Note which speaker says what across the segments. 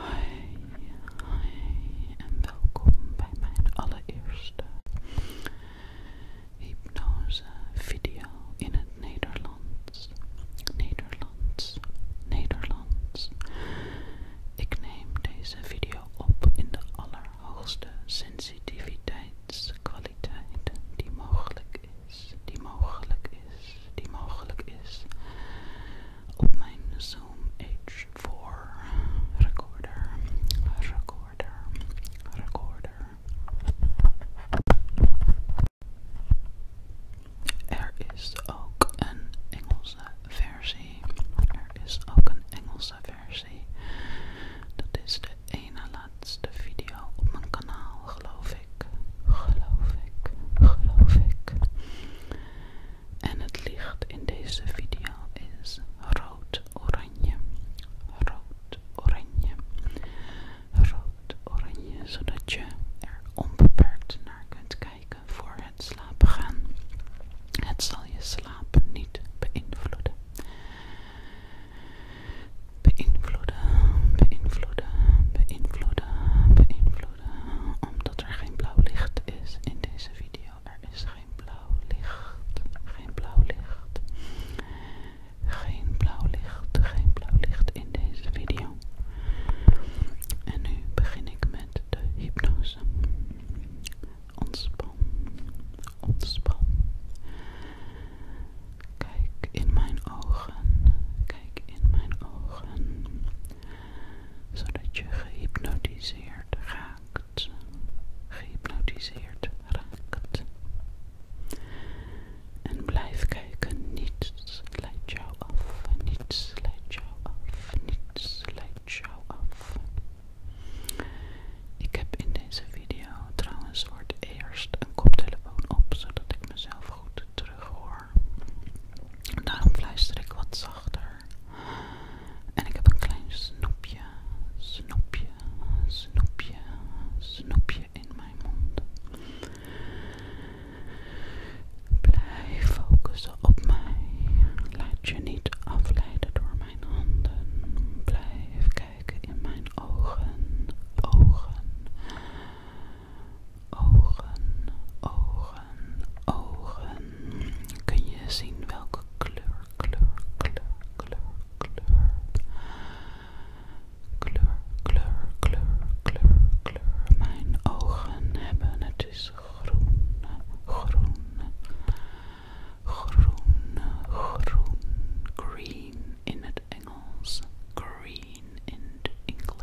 Speaker 1: Hi, hi en welkom bij mijn allereerste hypnose video in het Nederlands. Nederlands, Nederlands. Ik neem deze video op in de allerhoogste sensitiviteitskwaliteit die mogelijk is, die mogelijk is, die mogelijk is op mijn Zoom H4 recorder, recorder, recorder. Er is ook een Engelse versie. Er is ook een Engelse versie. Dat is de ene laatste video op mijn kanaal, geloof ik. Geloof ik, geloof ik. En het licht in deze video is rood-oranje. Rood-oranje. Rood-oranje, zodat je er onbeperkt naar kunt kijken voor het slapen gaan. Het zal je slaap niet beïnvloeden. Beïnvloeden, beïnvloeden, beïnvloeden, beïnvloeden, omdat er geen blauw licht is in deze video. Er is geen blauw licht. Geen blauw licht. Geen blauw licht. Geen blauw licht in deze video. En nu begin ik met de hypnose. Ontspan. Ontspan. Kijk in mijn ogen. Kijk in mijn ogen zodat je gehypnotiseerd raakt. Gehypnotiseerd raakt. En blijf kijken, niets leidt jou af, niets leidt jou af, niets leidt jou af. Ik heb in deze video trouwens voor eerst een koptelefoon op, zodat ik mezelf goed terughoor. hoor. Daarom fluister ik wat zachter. En ik heb een klein snoepje, snoepje, snoepje, snoepje in mijn mond. Blijf focussen op mij. Laat je niet afleiden door mijn handen. Blijf kijken in mijn ogen, ogen ogen, ogen, ogen. Kun je zien welke kleur, kleur, kleur, kleur, kleur. Kleur, kleur, kleur, kleur, kleur. Mijn ogen hebben, het is groen, groen, groen, groen, green in het Engels, green in het Engels.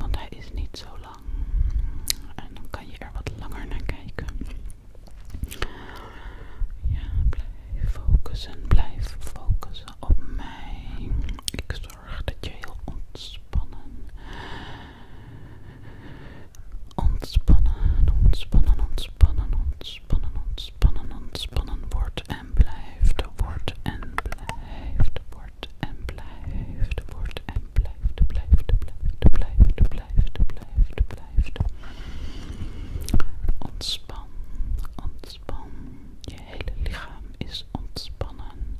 Speaker 1: Want hij is niet zo lang. En dan kan je er wat langer naar kijken. Ja, blijf focussen, blijf focussen op mij. Ik zorg dat je heel ontspannen. Ontspannen, ontspannen, ontspannen, ontspannen, ontspannen, ontspannen wordt en blijft, wordt en blijft, wordt en blijft, wordt en Blijf blijft, blijft, blijft, blijft, blijft, blijft. Ontspan, ontspan. Je hele lichaam is ontspannen.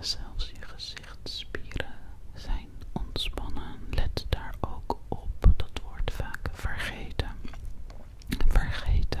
Speaker 1: Zelfs je gezichtsspieren zijn ontspannen. Let daar ook op. Dat wordt vaak vergeten. Vergeten.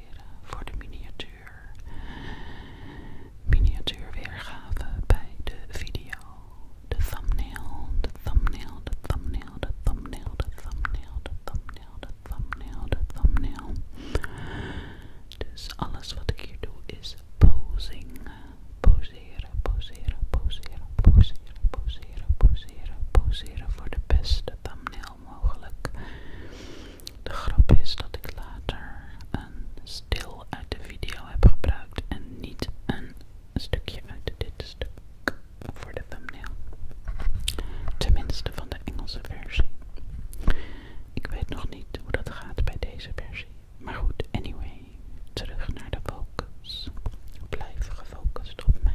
Speaker 1: voor de miniatuur. Miniatuurweergave bij de video. De thumbnail, de thumbnail, de thumbnail, de thumbnail, de thumbnail, de thumbnail, de thumbnail, de thumbnail. Dus alles wat ik hier doe is posing. Poseren, poseren, poseren, poseren, poseren, poseren, poseren voor de beste thumbnail mogelijk. De grap is dat ik later een stil uit de video heb gebruikt en niet een stukje uit dit stuk voor de thumbnail. Tenminste van de Engelse versie. Ik weet nog niet hoe dat gaat bij deze versie. Maar goed, anyway, terug naar de focus. Blijf gefocust op mij.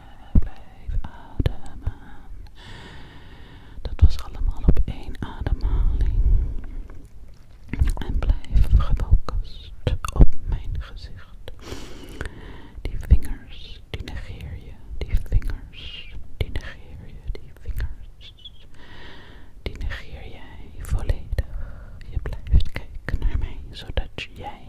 Speaker 1: blijf ademen. Dat was allemaal op één ademhaling. En blijf gefocust op mijn gezicht. Die vingers, die negeer je. Die vingers, die negeer je. Die vingers, die negeer jij volledig. Je blijft kijken naar mij, zodat jij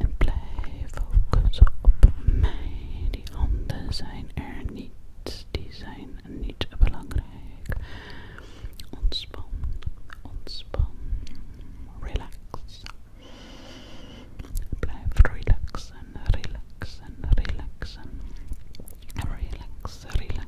Speaker 1: En blijf focussen op mij. Die handen zijn er niet. Die zijn niet belangrijk. Ontspan, ontspan, relax. Blijf relaxen, relaxen, relaxen. relaxen, relax,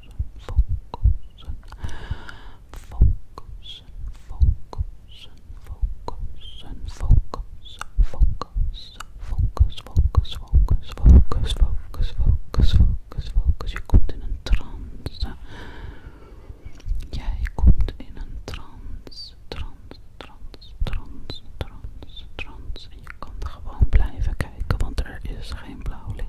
Speaker 1: focus, focus, focus, focus, focus, focus, focus, focus, focus, focus, focus, focus, focus. Je komt in een trance. Jij komt in een trance, trance, trance, trance, trance, trance. En je kan gewoon blijven kijken, want er is geen blauw licht.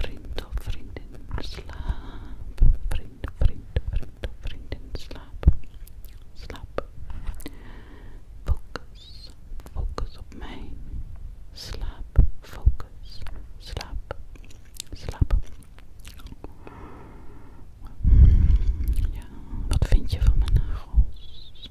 Speaker 1: Vriend of vriendin, slaap. Vriend, vriend, vriend of vriendin, slaap. Slaap. Focus, focus op mij. Slaap, focus, slaap, slaap. Ja, wat vind je van mijn nagels?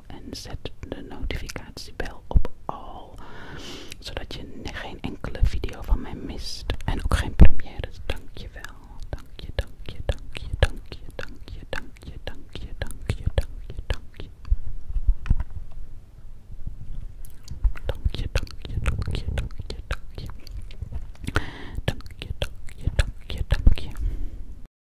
Speaker 1: en zet de notificatiebel op al, zodat je geen enkele video van mij mist en ook geen premières. Dankjewel, dankje, dankje, dankje, dankje, dankje, dankje, dankje, dankje, dankje, dankje. Dankje, dankje, dankje, dankje, dankje. Dankje, dankje, dankje, dankje.